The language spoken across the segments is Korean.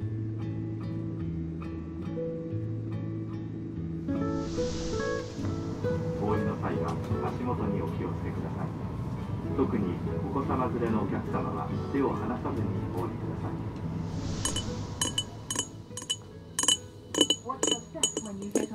お通りの際は足元にお気を付けください特にお子様連れのお客様は手を離さずにお降りください w a t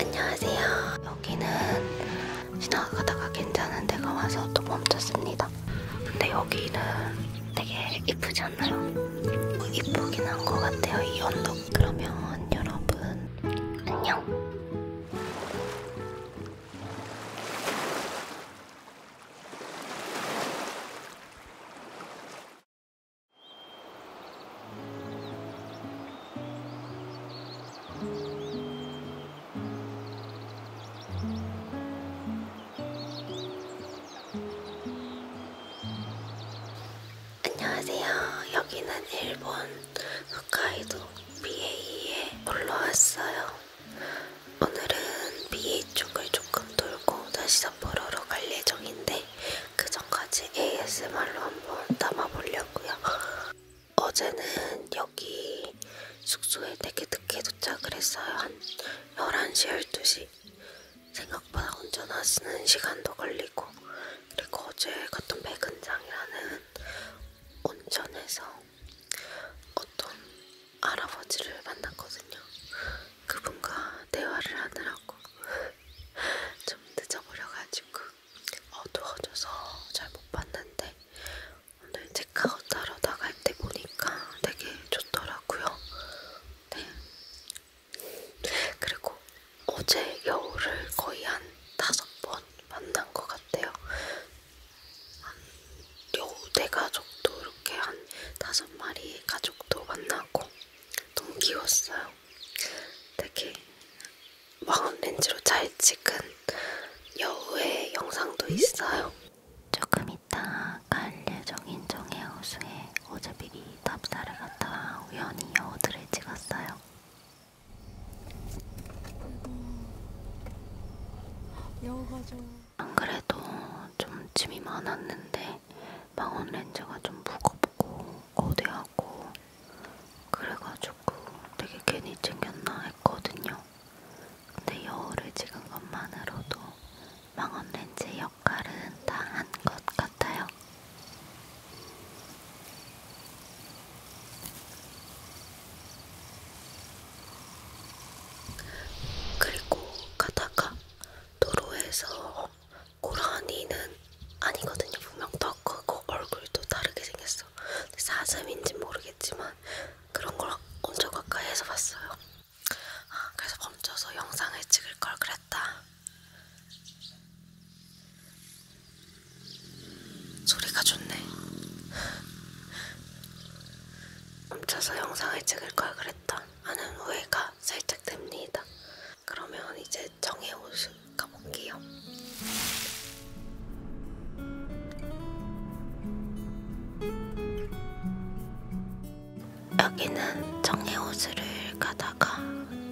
안녕하세요. 여기는 지나가다가 괜찮은 데가 와서 또 멈췄습니다. 근데 여기는 되게 이쁘지 않아요? 앞으로 이쁘긴 한 것 같아요 이 언덕 그러면 여러분 안녕 안녕하세요. 여기는 일본 홋카이도 BA에 놀러 왔어요. 오늘은 BA 쪽을 조금 돌고 다시 삿포로로 갈 예정인데 그 전까지 ASMR로 한번 담아보려고요. 어제는 여기 숙소에 되게 늦게 도착을 했어요. 한 11시, 12시. 생각보다 운전하시는 시간도 걸리고 그리고 어제 갔던 백은장이라는 온천에서 어떤 할아버지를 만났거든요. 그분과 대화를 하느라고 좀 늦어버려가지고 어두워져서 잘 못 봤는데 오늘 체크아웃 하러 나갈 때 보니까 되게 좋더라고요. 네, 그리고 어제 여우를 거의 한 다섯 번 만난 것 같아요. 한 여우 대가족도 네 이렇게 한 다섯 마리 가족도 만나고 너무 귀여웠어요. 되게 망원 렌즈로 잘 찍은 여우의 영상도 있어요. 조금 이따 갈 예정인 정해호수에 어제 미리 답사를 갔다 우연히 여우들을 찍었어요. 안 그래도 좀 짐이 많았는데 망원 렌즈가 좀 무겁고 거대하고 그래가지고 되게 괜히 챙겼나 했거든요. 근데 여우를 찍은 것만으로도 망원 렌즈에 역할은 다한 것 같아요. 그리고 가다가 도로에서 고라니는 아니거든요. 분명 더 크고 얼굴도 다르게 생겼어. 사슴인지 모르겠지만 그런 걸 엄청 가까이에서 봤어요. 아, 그래서 멈춰서 영상을 찍을 걸 그랬다. 소리가 좋네. 멈춰서 영상을 찍을 걸 그랬다. 하는 후회가 살짝 됩니다. 그러면 이제 정해 옷을 가볼게요. 여기는 정해호수를 가다가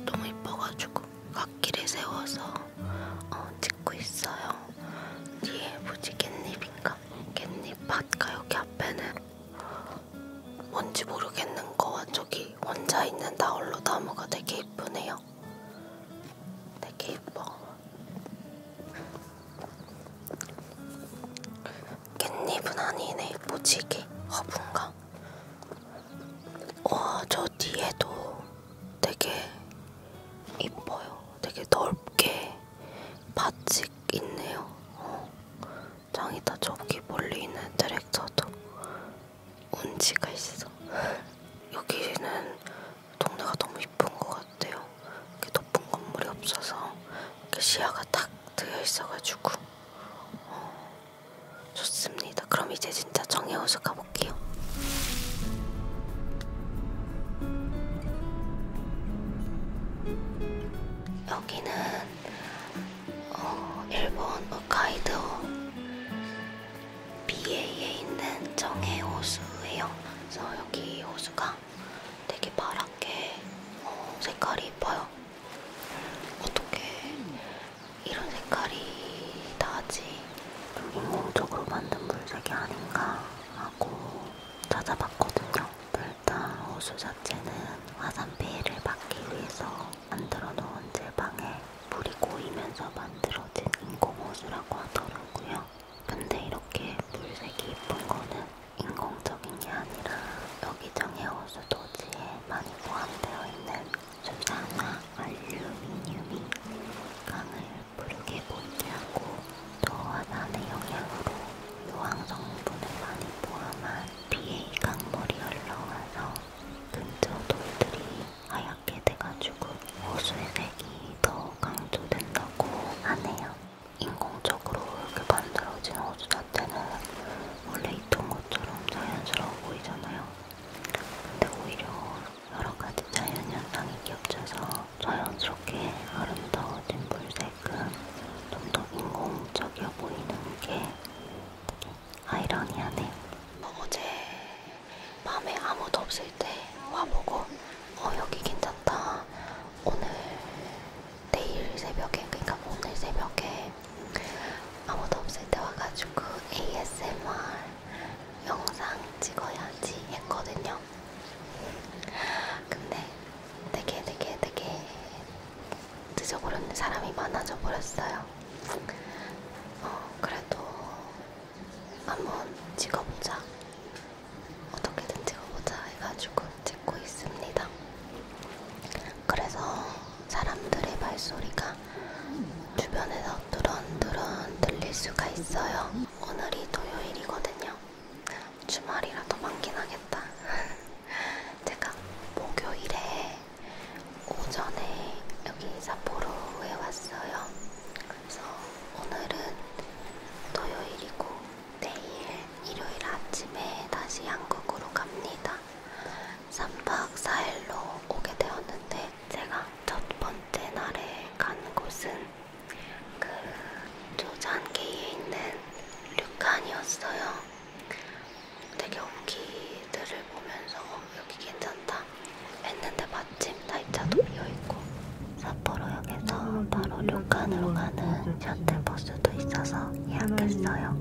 너무 이뻐가지고 갓길에 세워서 어, 찍고 있어요. 뒤에 뭐지 깻잎인가? 깻잎밭가 여기 앞에는 뭔지 모르겠는 거와 저기 혼자 있는 나홀로 나무가 되게 이쁘네요. 되게 이뻐. 깻잎은 아니네 무지개 허브인가? 와 저 뒤에도 되게 이뻐요 되게 넓게 바칙 있네요 어, 짱이다 저기 멀리 있는 트랙터도 운지가 있어 여기는 동네가 너무 이쁜 것 같아요 이렇게 높은 건물이 없어서 이렇게 시야가 딱 트여 있어가지고 어, 좋습니다. 그럼 이제 진짜 정해호수 가볼게요. 여기는 어, 일본 홋카이도 BA에 있는 정해호수예요. 그래서 여기 호수가 되게 파랗게 어, 색깔이 이뻐요. 어떻게 이런 색깔이 나지? 좀 인공적으로 만든 물색이 아닌가 하고 찾아봤거든요. 일단 호수 자체는 화산 피해를 막기 위해서 만들어 놓은 제방에 물이 고이면서 만들어진 인공호수라고 하더라고요. 근데 이렇게 물색이 예쁜 거는 인공적인 게 아니라 여기 정해 호수 도지에 많이 포함되어 있는 수산화 알루미늄이 강을 푸르게 보태하고 또 화산의 영향으로 유황 성분을 많이 포함한 비에 강물이 흘러와서 근처 돌들이 하얗게 돼가지고 호수의 색이 더 강조된다고 하네요. 인공적으로 이렇게 그 만들어진 호수 자체는 원래 이 동을 것처럼 자연스러워 보이잖아요. 근데 오히려 여러 가지 자연 현상이 겹쳐서 자연스럽게 아름다워진 물색은 좀 더 인공적이어 보이는 게 아이러니하네. 어제 밤에 아무도 없을 때 와보고 어 여기 괜찮다. 오늘 내일 새벽에 그러니까 뭐 오늘 새벽에 아무도 없을 때 와가지고 ASMR 영상 찍어야지 했거든요. 근데 되게 되게 되게 늦어버렸는 사람이 많아져 버렸어요. 어, 그래도 한번 찍어보자. 어떻게든 찍어보자 해가지고 찍고 있습니다. 그래서 사람들의 발소리가 주변에서 두런두런 들릴 수가 있어요. 오늘이 토요일이거든요. 주말이라도 많긴 하겠다. 제가 목요일에 오전에 여기 사포로에 왔어요. 그래서 오늘은 토요일이고 내일 일요일 아침에 다시 한국으로 갑니다. 3박 4일로 오게 되었는데 제가 첫 번째 날에 간 곳은 그 조잔기에 있는 류칸이었어요. 되게 여기들을 보면서 어, 여기 괜찮다 했는데 마침 나이차도 비어있고 사포로역에서 바로 류칸으로 가는 셔틀버스 수도 있어서 예약했어요.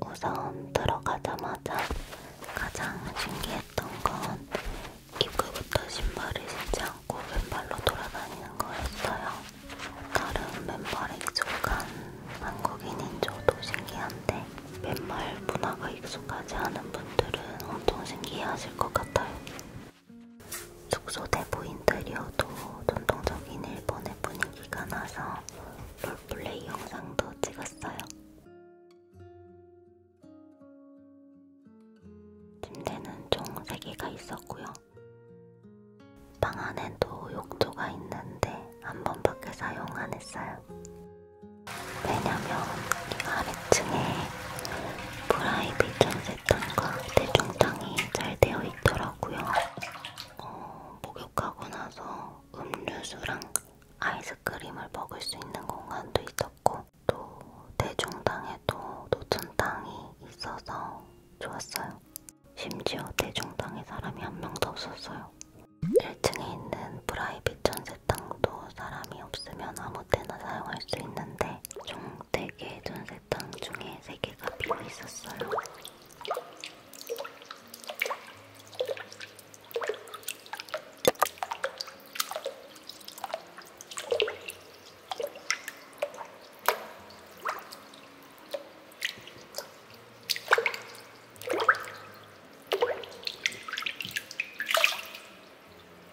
우선 들어가자마자 가장 신기했던 건 입구부터 신발을 신지 않고 왼발로 돌아다니는 거였어요. 다른 왼발에 익숙한 한국인인 저도 신기한데 왼발 문화가 익숙하지 않은 분들은 엄청 신기해하실 것 같아요. 숙소 대부인들이어도 전통적인 일본의 분위기가 나서 롤플레이 영상도 찍었어요. 침대는 총 3개가 있었고요. 방 안에도 욕조가 있는데 한 번밖에 사용 안 했어요. 왜냐면 아래층에 프라이빗 전세탄과 대중탕이 잘 되어 있더라고요. 어, 목욕하고 나서 음료수랑 아이스크림을 먹을 수 있는 공간도 있었고 또 대중탕에도 노천탕이 있어서 좋았어요. 심지어 대중탕에 사람이 한 명도 없었어요. 1층에 있는 프라이빗 전세탕도 사람이 없으면 아무 때나 사용할 수 있는데 총대개 전세탕 중에 3개가 비어있었어요.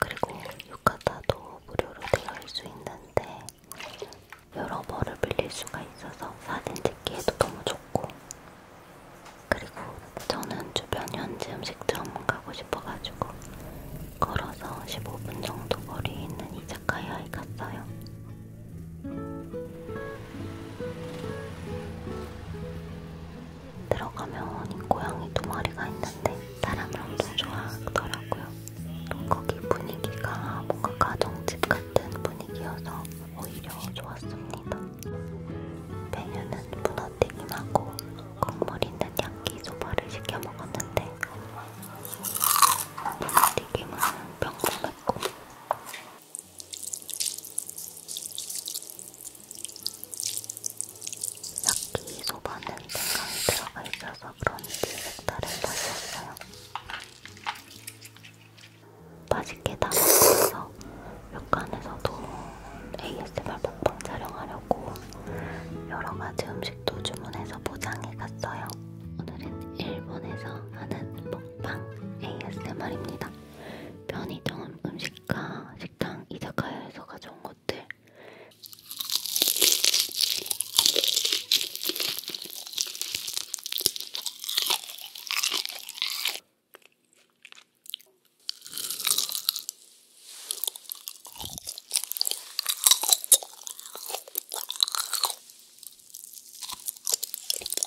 그리고 유카타도 무료로 들어올 수 있는데 여러 벌을 빌릴 수가 있어서 사진 찍기에도 너무 좋고 그리고 저는 주변 현지 음식점 가고 싶어가지고 걸어서 15분 정도 거리에 있는 이자카야에 갔어요. 들어가면 이 고양이 두 마리가 있는데 사람을 엄청 좋아하더라고요. 거기 분위기가 뭔가 가정집 같은 분위기여서 오히려 좋았습니다. 메뉴는 문어튀김하고 국물 있는 야끼소바를 시켜 먹었는데 문어튀김은 평범했고 야끼소바는 생강이 들어가 있어서 그런지 색다른 맛이었어요. 맛있게 다 먹어서 료칸에서도 ASMR 먹방 촬영하려고 여러가지 음식도 주문해서 포장해 갔어요. 오늘은 일본에서 하는 먹방 ASMR입니다. 편의점 음식 보니까 그러니까 식당 이자카야에서 가져온 것들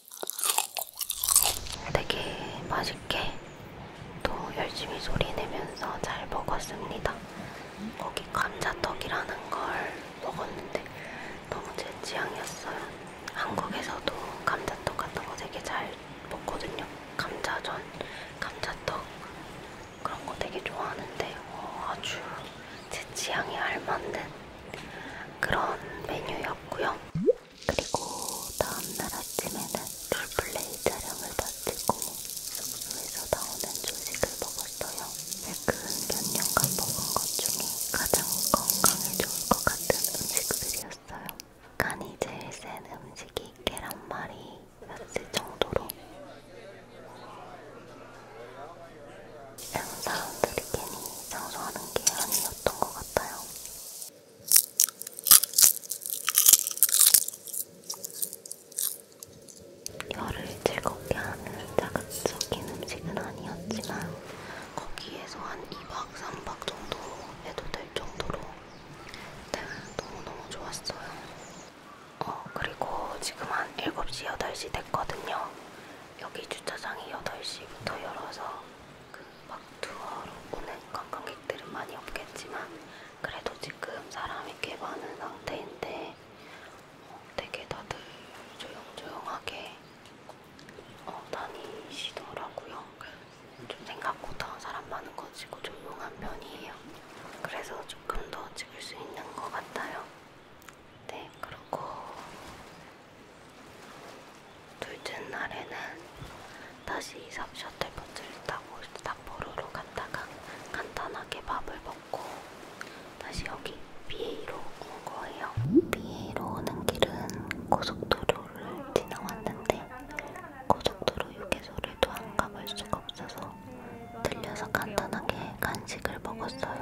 네, 되게 맛있게 또 열심히 소리내면서 잘 먹었습니다. 거기 감자떡이라는 걸 먹었는데 너무 제 취향이었어요. 한국에서도 감자떡 같은 거 되게 잘 먹거든요. 감자전, 감자떡 그런 거 되게 좋아하는데 어, 아주 제 취향에 알맞는 그런 메뉴였고요. 그리고 다음날 아침에는 롤플레이 촬영을 마치고 숙소에서 나오는 조식을 먹었어요. 최근 몇 년간 먹은 것 중에 가장 건강에 좋을 것 같은 음식들이었어요. 간이 제일 센 음식이 계란말이였을 정도로 영상을 들이니 장소하는 게 아니었던 것 같아요. 혀를 즐겁게 하는 자극적인 음식은 아니었지만 거기에서 한 2박 3박 정도 해도 될 정도로 네, 너무너무 좋았어요. 어 그리고 지금 한 7시, 8시 됐거든요. 여기 주차장이 8시부터 열어서 그막 투어로 오는 관광객들은 많이 없겠지만 그래도 지금 사람이 꽤 많은 상태인데 어, 되게 다들 조용조용하게 어, 다니시더라고요. 좀 생각보다 사람 많은 거 치고 조용한 편이에요. 그래서 조금 더 찍을 수 있는 것 같아요. 네, 그리고 둘째 날에는 다시 이삽 셔틀버스를 타고 삿포로로 갔다가 간단하게 밥을 먹고 다시 여기 비에이로 온 거예요. 비에이로 오는 길은 고속도로를 지나왔는데 고속도로 휴게소를 또안 가볼 수가 없어서 들려서 간단하게 간식을 먹었어요.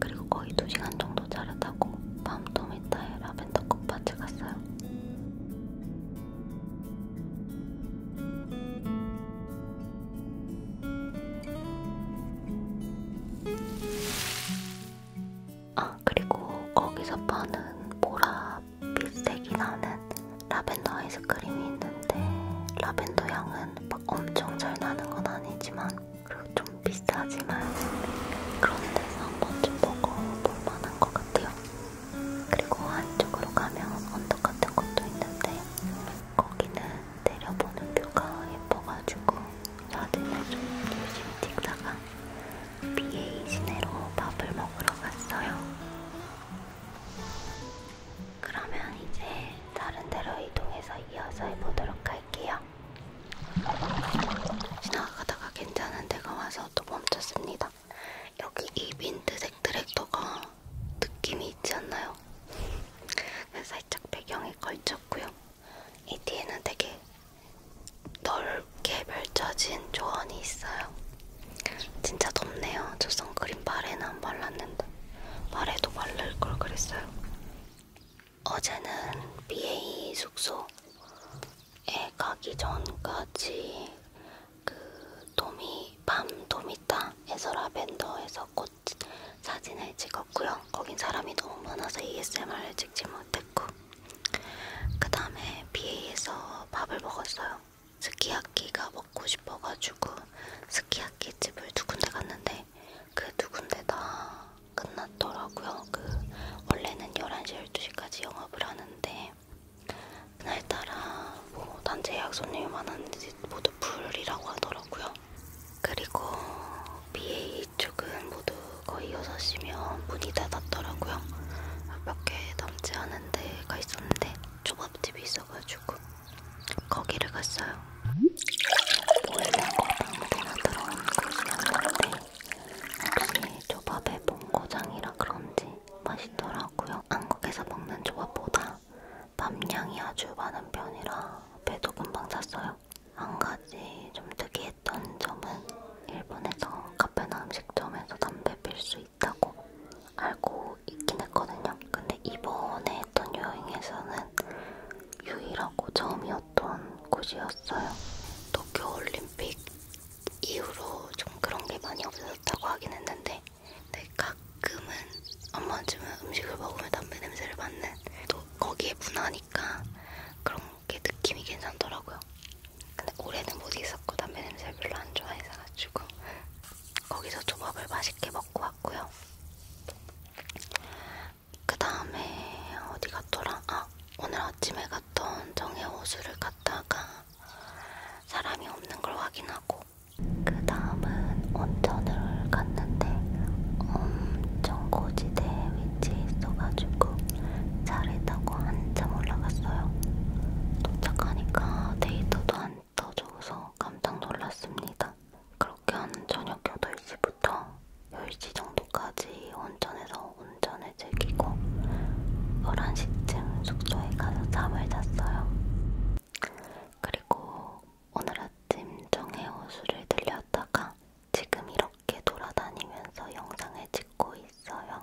그리고 거의 2시간 정도 차를 타고 밤토미타의 라벤더 꽃밭에 갔어요. 아 그리고 거기서 파는 보라빛색이 나는 라벤더 아이스크림이 있는데 라벤더 향은 막 엄청 잘 나는 건 아니지만 그리고 좀 비싸지만 그런 데서 한번 좀 먹어볼 만한 것 같아요. 그리고 안쪽으로 가면 언덕 같은 것도 있는데 거기는 내려보는 뷰가 예뻐가지고 사진을 좀 열심히 찍다가 BA 시내로 밥을 먹으러 갔어요. 그러면 이제 다른 데로 이동해서 이어서 해보도록 할게요. 지나가다가 괜찮은 데가 와서 또 멈췄습니다. 여기 이 민트색 트랙터가 느낌이 있지 않나요? 살짝 배경에 걸쳤고요. 이 뒤에는 되게 넓게 펼쳐진 조언이 있어요. 진짜 덥네요. 저 선크림 발에는 안 발랐는데 발에도 바를 걸 그랬어요. 어제는 BA 숙소에 가기 전까지 그 도미 밤 도미타에서 라벤더에서 꽃 사진을 찍었고요. 거긴 사람이 너무 많아서 ASMR을 찍지 못했고 그 다음에 비에서 밥을 먹었어요. 스키야키가 먹고 싶어가지고 스키야키 집을 두 군데 갔는데 그 두 군데 다 끝났더라고요. 그 원래는 11시, 12시까지 영업을 하는데 그날따라 뭐 단체 예약 손님이 많았는지 모두 불이라고 하더라고요. 그리고 BA 쪽은 모두 거의 6시면 문이 닫았더라고요. 몇개 넘지 않은 데가 있었는데 초밥집이 있어가지고 거기를 갔어요. 보이는 거방문나 들어온 곳이었는데 혹시 초밥에 본고장이라 그런지 맛있더라고요. 한국에서 먹는 초밥보다 밥량이 아주 많은 편이라 배도 금방 찼어요. 한 가지 좀 특이했던 놀랬던 점은 일본에서 카페나 음식점에서 담배 필수 있다고 알고 있긴 했거든요. 근데 이번에 했던 여행에서는 유일하고 처음이었던 곳이었어요. 도쿄올림픽 이후로 좀 그런 게 많이 없어졌다고 하긴 했는데 근데 가끔은 한 번쯤은 음식을 먹으면 담배 냄새를 맡는 또 거기에 문화니까 그런 그게 느낌이 괜찮더라고요. 근데 올해는 못 있었고 담배 냄새 별로 안 좋아해서가지고 거기서 조밥을 맛있게 먹고 왔고요. 그 다음에 어디 갔더라? 아 오늘 아침에 갔던 정해 호수를 갔다가 사람이 없는 걸 확인하고 그 다음은 온천을 갔는데 엄청 고지대에 위치해 있어가지고 차를 타고 한참 올라갔어요. 도착하니까 데이터도 안 떠줘서 깜짝 놀랐습니다. 그렇게 한 저녁 8시부터 10시 정도까지 온천에서 온천을 즐기고 11시쯤 숙소에 가서 잠을 잤어요. 그리고 오늘 아침 정해 호수를 들렸다가 지금 이렇게 돌아다니면서 영상을 찍고 있어요.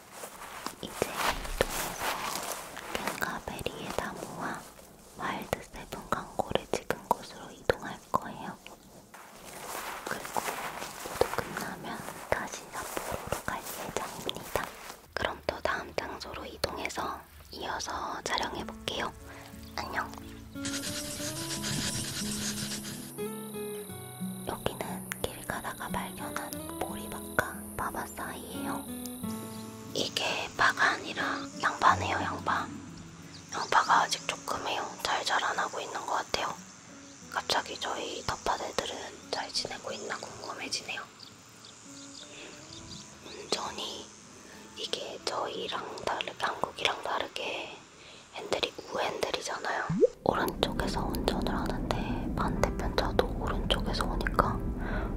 이제 이동해서 캔가베리에다 모아 와일드 세븐 광고를 찍은 곳으로 이동할 거예요. 그리고 모두 끝나면 다시 삿포로로 갈 예정입니다. 그럼 또 다음 장소로 이동해서 이어서 촬영해 볼게요. 안녕. 여기는 길 가다가 발견한 보리밭과 바바 사이예요. 이게 바가 아니라 양파네요, 양파. 양파가 아직 조금해요. 잘 자라나고 있는 것 같아요. 갑자기 저희 텃밭애들은 잘 지내고 있나 궁금해지네요. 운전이 이게 저희랑 다르게 한국이랑 다르게 핸들이 우핸들이잖아요. 오른 한쪽에서 운전을 하는데 반대편 차도 오른쪽에서 오니까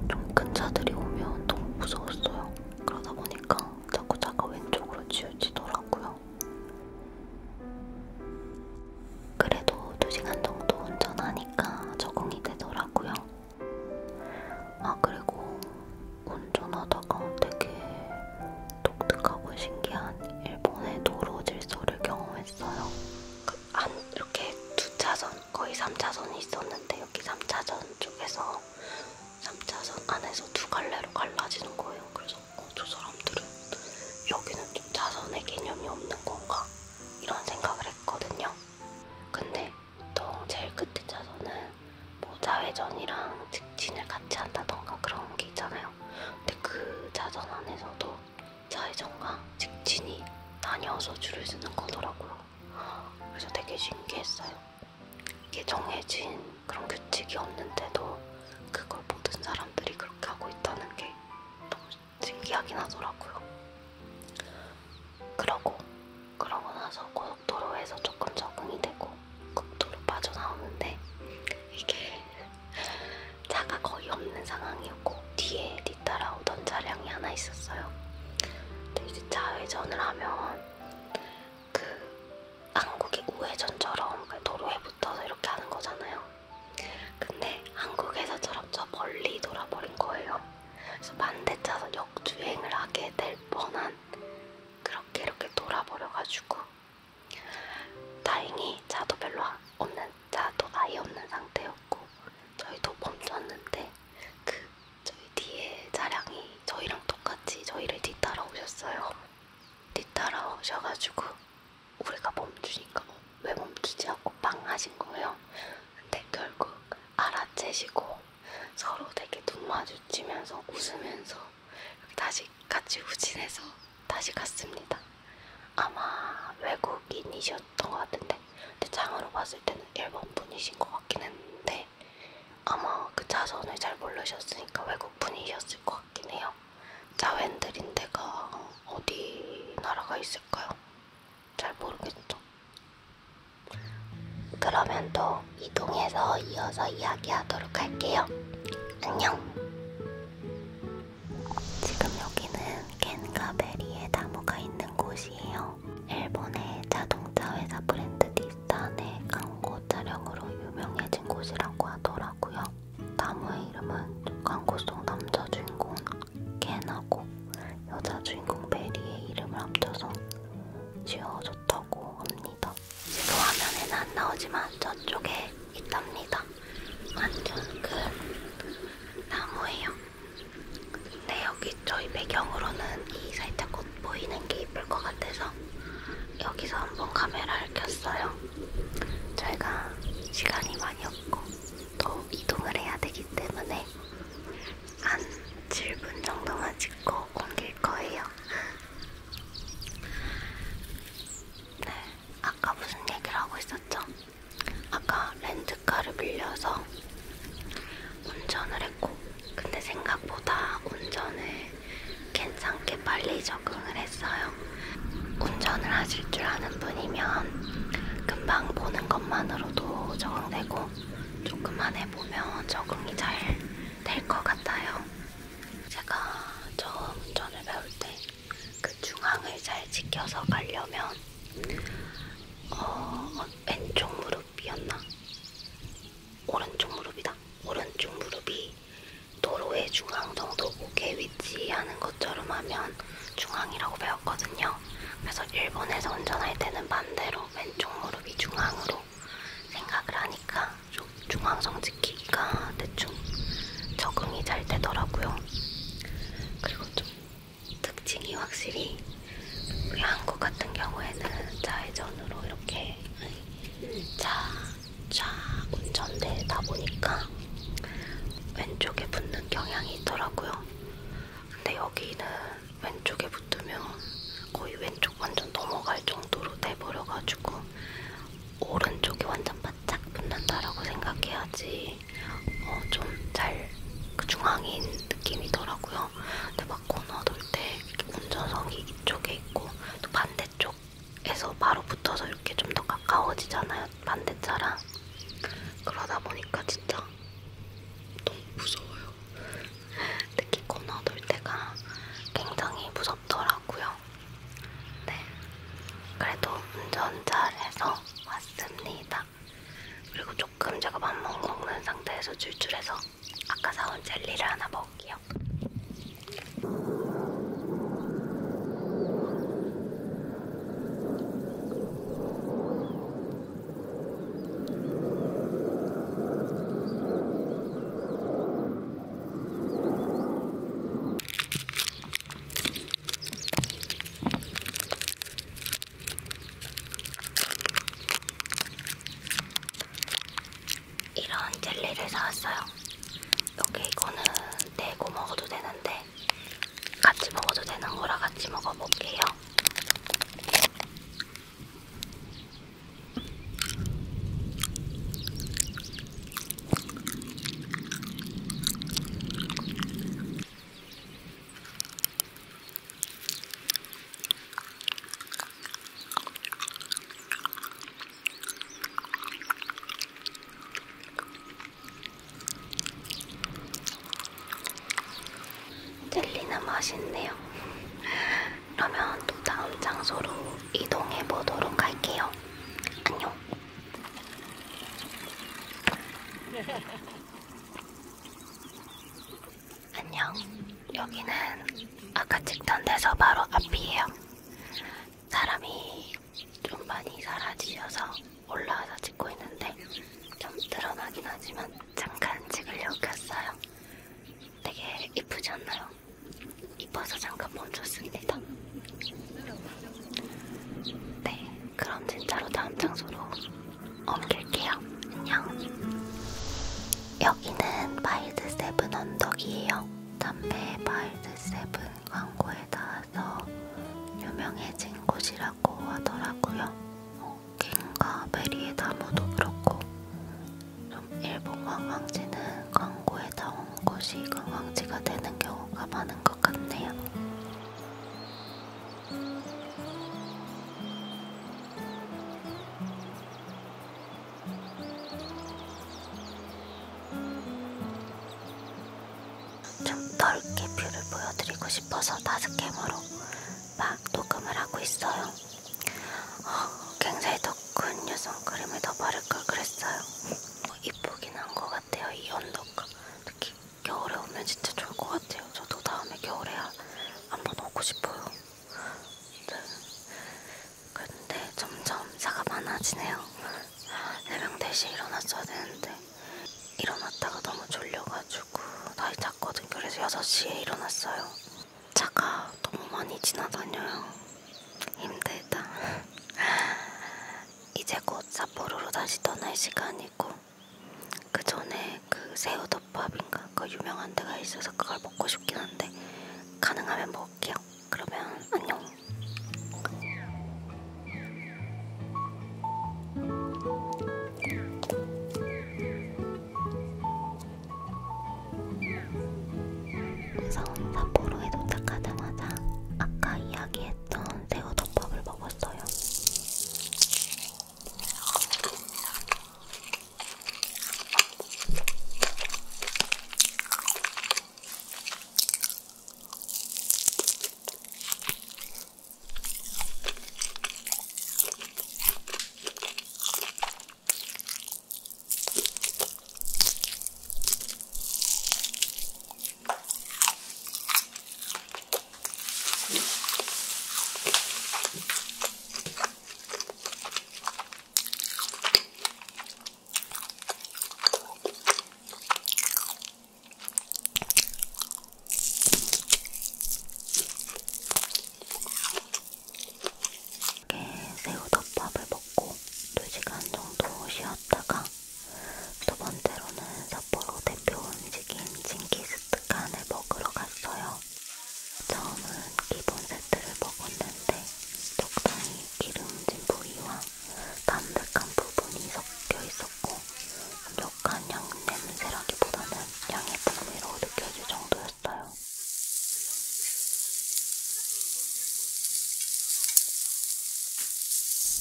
좀 큰 차들이 오면 너무 무서웠어요. 그러다 보니까 자꾸 차가 왼쪽으로 치우치더라고요. 그래도 2시간 정도 운전하니까 적응이 되더라고요. 아, 그리고 운전하다가 되게 독특하고 신기한 일본의 도로 질서를 경험했어요. 한 이렇게 두 차선 거의 3차선이 있었는데 여기 3차선 쪽에서 3차선 안에서 두 갈래로 갈라지는 거예요. 그래서 어, 저 사람들은 여기는 좀 차선의 개념이 없는 건가 이런 생각을 했거든요. 근데 보통 제일 끝에 차선은 뭐 좌회전이랑 직진을 같이 한다던가 그런 게 있잖아요. 근데 그 차선 안에서도 사회전과 직진이 나뉘어서 줄을 서는 거더라고요. 그래서 되게 신기했어요. 이게 정해진 그런 규칙이 없는데도 그걸 모든 사람들이 그렇게 하고 있다는 게 너무 신기하긴 하더라고요. 그러고 그러고 나서 고속도로에서 조금 적응이 되고 국도로 빠져나오는데 이게 차가 거의 없는 상황이었고 뒤에 저희들이 따라오던 차량이 하나 있었어요. 근데 이제 좌회전을 하면 그 한국의 우회전처럼 그러니까 도로에 붙어서 이렇게 하는 거잖아요. 근데 한국에서처럼 저 멀리 돌아버린 거예요. 그래서 반대차선 역주행을 하게 될 뻔한 그렇게 이렇게 돌아버려가지고 다행히 차도 별로 없는 차도 아예 없는 상태였고 저희도 멈췄는데 그 저희 뒤에 차량이 저희랑 똑같이 저희를 뒤따라오셨어요. 뒤따라오셔가지고 우리가 멈추니까 어, 왜 멈추지 하고 빵하신 거예요. 근데 결국 알아채시고 서로 되게 눈 마주치면서 웃으면서 이렇게 다시 같이 후진해서 다시 갔습니다. 아마 외국인이셨던 것 같은데 근데 장으로 봤을 때는 일본 분이신 것 같긴 했는데 아마 그 자선을 잘 모르셨으니까 외국 분이셨을 것 같긴 해요. 자웬드린데가 어디 나라가 있을까요? 잘 모르겠죠. 그러면 또 이동해서 이어서 이야기하도록 할게요. 안녕. 지금 여기는 켄가베리의 나무가 있는 곳이에요. 일본의 자동차 회사 브랜드 닛산의 광고 촬영으로 유명해진 곳이라고 하더라고요. 나무의 이름은 광고 속 남자 주인공 켄하고 여자 주인공 베리의 이름을 합쳐서 지어줬다고 합니다. 지금 화면에는 안 나오지만 저쪽에 있답니다. 완전 큰 나무예요. 근데 여기 저희 배경으로는 이 살짝 꽃 보이는 게 이쁠 것 같아서 여기서 한번 카메라를 켰어요. 저희가 시간이 많이 없고 또 이동을 해야 되기 때문에 한 7분 정도만 찍고 옮길 거예요. 네, 아까 무슨 얘기를 하고 있었죠? 아까 렌트카를 빌려서 운전을 했고 근데 생각보다 운전을 괜찮게 빨리 적응을 했어요. 운전을 하실 줄 아는 분이면 금방 보는 것만으로도 적응되고 조금만 해보면 적응이 잘 될 것 같아요. 제가 처음 운전을 배울 때그 중앙을 잘 지켜서 가려면 어, 어, 왼쪽 무릎이었나? 오른쪽 무릎이다. 오른쪽 무릎이 도로의 중앙 정도 목에 위치하는 것처럼 하면 중앙이라고 배웠거든요. 그래서 일본에서 운전할 때는 반대로 왼쪽 무릎이 중앙으로 생각을 하니까 중앙성 지키기가 대충 적응이 잘 되더라고요. 그리고 좀 특징이 확실히 우리 한국 같은 경우에는 좌회전으로 이렇게 차차 운전대다 보니까 왼쪽에 붙는 경향이 있더라고요. 근데 여기는 왼쪽에 붙으면 거의 왼쪽 완전 넘어갈 정도로 돼버려가지고 오른쪽이 완전 바짝 붙는다라고 생각해야지 되게 어, 좀잘 그 중앙인 느낌이더라고요. 근데 막 코너 돌 때 운전석이 이쪽에 있고 또 반대쪽에서 바로 붙어서 이렇게 좀 더 가까워지잖아요. 반대차랑 그러다 보니까 진짜 너무 무서워요. 특히 코너 돌 때가 굉장히 무섭더라고요. 네, 그래도 운전 잘해서 왔습니다. 있습니다. 그리고 조금 제가 밥못 먹는 상태에서 출출해서 아까 사온 젤리를 하나 먹을게요. 이런 젤리를 사왔어요. 여기 이거는 내고 먹어도 되는데 같이 먹어도 되는 거라 같이 먹어볼게요. 젤리는 맛있네요. 그러면 또 다음 장소로 이동해 보도록 할게요. 안녕. 안녕. 여기는 아까 찍던 데서 바로 앞이에요. 사람이 좀 많이 사라지셔서 올라와서 찍고 있는데 좀 드러나긴 하지만 잠깐 찍으려고 했어요. 되게 이쁘지 않나요? 이뻐서 잠깐 멈췄습니다. 네, 그럼 진짜로 다음 장소로 옮길게요. 안녕. 여기는 마일드 세븐 언덕이에요. 담배 마일드 세븐 광고에 나와서 유명해진 곳이라고 하더라고요. 어, 킹과 메리의 나무도 그렇고 좀 일본 관광지는 광고에 나온 곳이 관광지가 되는 경우가 많은 것 같네요. 좀 넓게 뷰를 보여드리고 싶어서 다스캠으로 막 녹음을 하고 있어요. 어, 굉장히 덕후뉴 선크림을 더 바를 걸 그랬어요. 어, 이쁘긴 한 것 같아요. 이 언더가 특히 겨울에 오면 진짜 좋을 것 같아요. 저도 다음에 겨울에 한 번 오고 싶어요. 네. 근데 점점 차가 많아지네요. 새벽 4시에 일어났어야 되는데 일어났다가 너무 졸려가지고 나이 잤거든. 그래서 6시에 일어났어요. 차가 너무 많이 지나다녀요. 힘들다. 이제 곧 삿포로로 다시 떠날 시간이고 그 전에 그 새우덮밥인가 그 유명한 데가 있어서 그걸 먹고 싶긴 한데 가능하면 먹을게요. 그러면 안녕. 무서운 사포로에 도착하자마자 아까 이야기했던 새우덮밥을 먹었어요. 새우덮밥을 먹고 2시간 정도 쉬었다가 두 번째로는 삿포로 대표 음식인 징기스칸을 먹으러 갔어요. 처음은 기본 세트를 먹었는데 적당히 기름진 부위와 담백한 부분이 섞여 있었고 약간 양 냄새라기보다는 양의 풍미로 느껴질 정도였어요.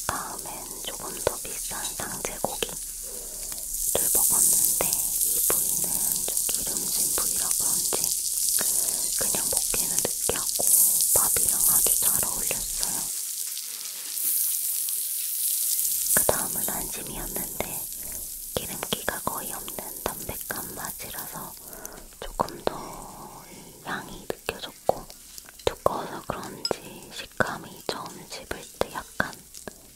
다음엔 조금 더 비싼 상제고기. 를 먹었는데 이 부위는 좀 기름진 부위라 그런지 그냥 먹기는 느끼하고 밥이랑 아주 잘 어울렸어요. 그 다음은 안심이었는데 기름기가 거의 없는 담백한 맛이라서 조금 더 향이 느껴졌고 두꺼워서 그런지 식감이 처음 씹을 때 약간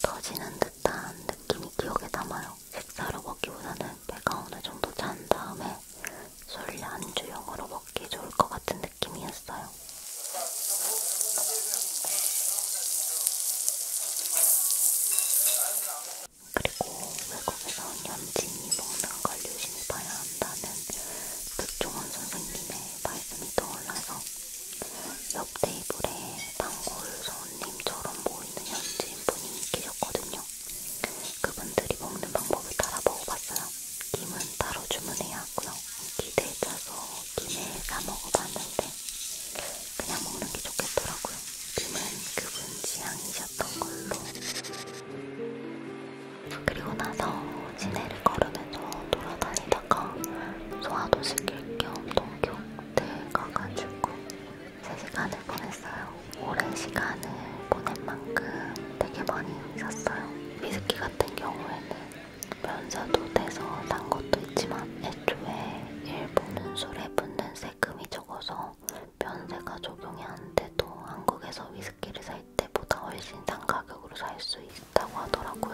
터지는 듯한 느낌이 기억에 남아요. 식사로 먹기보다는 배가 어느 정도 찬 다음에 술 안주용으로 먹기 좋을 것 같은 느낌이었어요. 그리고 외국에서 연진이 먹는 걸 유심히 봐야 한다는 백종원 선생님의 말씀이 떠올라서 옆 테이블에 단골 손님처럼 보이는 현지인분이 계셨거든요. 그분들이 먹는 방법을 따라 먹어봤어요. 김은 따로 주문해야 하고요. 기대에 따서 김에 싸먹어봤는데 그냥 먹는 게 좋겠더라고요. 김은 그분 지향이셨던 걸로. 그리고 나서 시내를 걸으면서 돌아다니다가 소화도 시킬 겸 동교대에 가가지고 3시간을 보냈어요. 오랜 시간을 보낸 만큼 되게 많이 샀어요. 비스킷 같은 경우에는 면사도 돼서 산 것도 있지만 애초에 일본은 술에 붙는 세금이 적어서 면세가 적용이 안 돼도 한국에서 위스키를 살 때보다 훨씬 싼 가격으로 살수 있다고 하더라고요.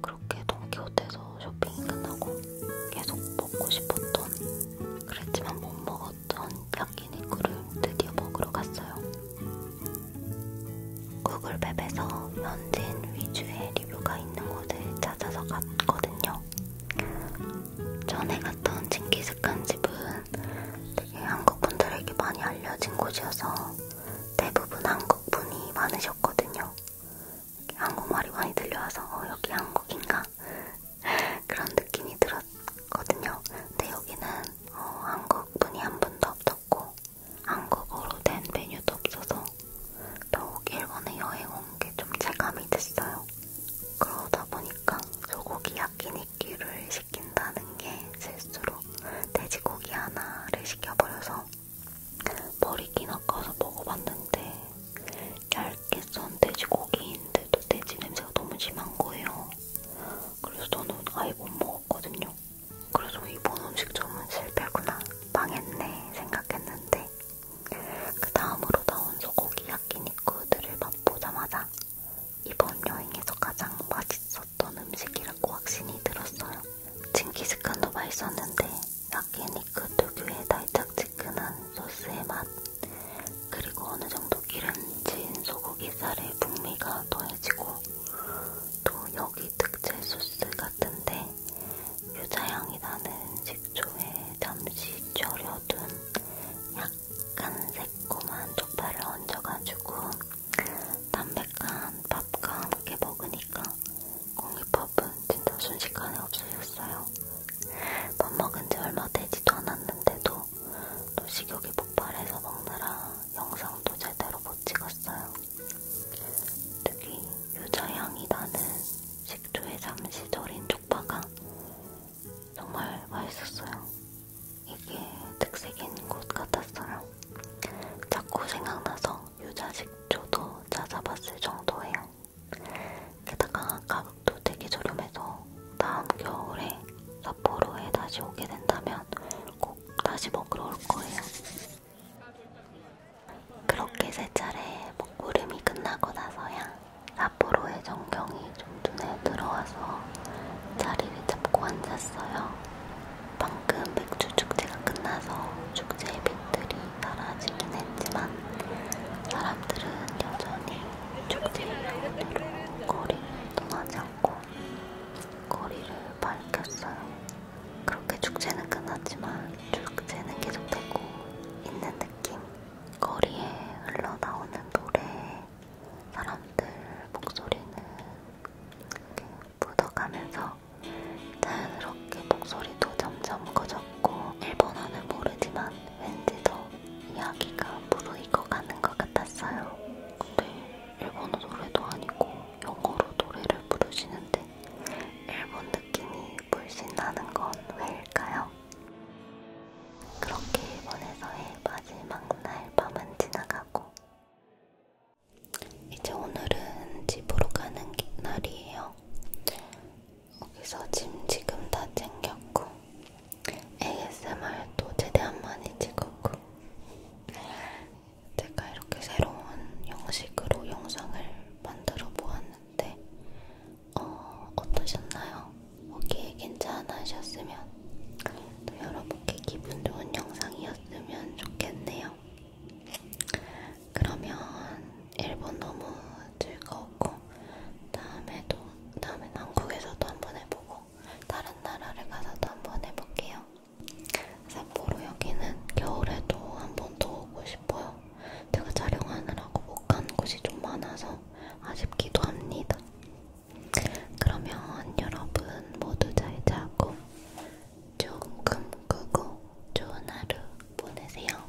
그렇게 돈키호테에서 쇼핑이 끝나고 계속 먹고 싶었던 그랬지만 못 먹었던 야끼니쿠를 드디어 먹으러 갔어요. 구글맵에서 현지인 위주의 리뷰가 있는 곳을 찾아서 갔거든요. 전에 갔던 징기스칸 집은 되게 한국 분들에게 많이 알려진 곳이어서 대부분 한국 분이 많으셨거든요. 한국말이 많이 들려와서 어, 여기 한국인가? 그런 느낌이 들었거든요. 근데 여기는 어, 한국 분이 한 분도 없었고 한국어로 된 메뉴도 없어서 더욱 일본에 여행 온 게 좀 체감이 됐어요. 그러다 보니까 소고기 야끼니끼를 시킨다는 게 실수로 돼지고기 하나를 시켜버려서 머리 기나까서 먹어봤는데 얇게 썬 돼지고기인데도 돼지 냄새가 너무 심한 거예요. 그래서 저는 아예 못 먹었거든요. 그래서 이번 음식점은 실패구나, 망했네 생각했는데 그 다음으로 나온 소고기 야끼니쿠들을 맛보자마자 이번 여행에서 가장 맛있었던 음식이라고 확신이 들었어요. 징기스칸도 맛있었는데 야끼니크 특유의 달짝지근한 소스의 맛, 그리고 어느 정도 기름진 소고기 살의 풍미가 더해지고, 또 여기 특제 소스 같은데 유자향이 나는 식초에 잠시 절여둔 약간 새콤한 쪽파를 얹어가지고 담백한 밥과 함께 먹으니까 공기밥은 진짜 순식간에 없어졌어요. 밥 먹은 지 얼마 되지도 않았는데도 또 식욕이 폭발해서 먹느라 영상도 제대로 못 찍었어요. 특히 유자향이 나는 식초에 잠시 절인 쪽파가 정말 맛있었어요. 이게 특색인 곳 같았어요. 자꾸 생각나서 유자식초도 찾아봤을 정도예요. 게다가 가격도 되게 저렴해서 다음 겨울에 삿포로에 다시 오게 된다면 꼭 다시 먹으러 올 거예요. 그렇게 세 차례 먹구름이 끝나고 나서야 삿포로의 전경이 좀 눈에 들어와서 자리를 잡고 앉았어요. 방금 맥주 축제가 끝나서 축제의 빛들이 사라지긴 했지만 사람들은 여전히 축제의 여운으로 거리를 떠나지 않고 거리를 밝혔어요. 그렇게 축제는 끝났지만 축제는 계속되고 있는 느낌. 거리에 흘러나오는 노래에 사람들 목소리는 이렇게 묻어가면서 자연스럽게 목소리도 점점 커져 무섭고 일본어는 모르지만 왠지 더 이야기가 무르익어가는 것 같았어요. 근데 일본어 노래도 아니고 영어로 노래를 부르시는데 일본 느낌이 물씬 나는 건 왜일까요? 그렇게 일본에서의 마지막 날 밤은 지나가고 이제 오늘은 집으로 가는 날이에요. 거기서 짐 지금 다 챙겼고 ASMR도 최대한 많이 찍었고 제가 이렇게 새로운 형식으로 영상을 만들어 보았는데 어, 어떠셨나요? 보기에 괜찮으셨으면 또 여러분께 기분 좋은 영상이었으면 좋겠네요. 그러면 일본 너무 즐거웠고 다음에도 다음엔 한국에서도 한번 해보고 다른 나라를 가서도 한번 해볼게요. 삿포로 여기는 겨울에도 한번 더 오고 싶어요. 제가 촬영하느라고 못 간 곳이 좀 많아서 아쉽기도 합니다. 그러면 여러분 모두 잘 자고 좋은 꿈 꾸고 좋은 하루 보내세요.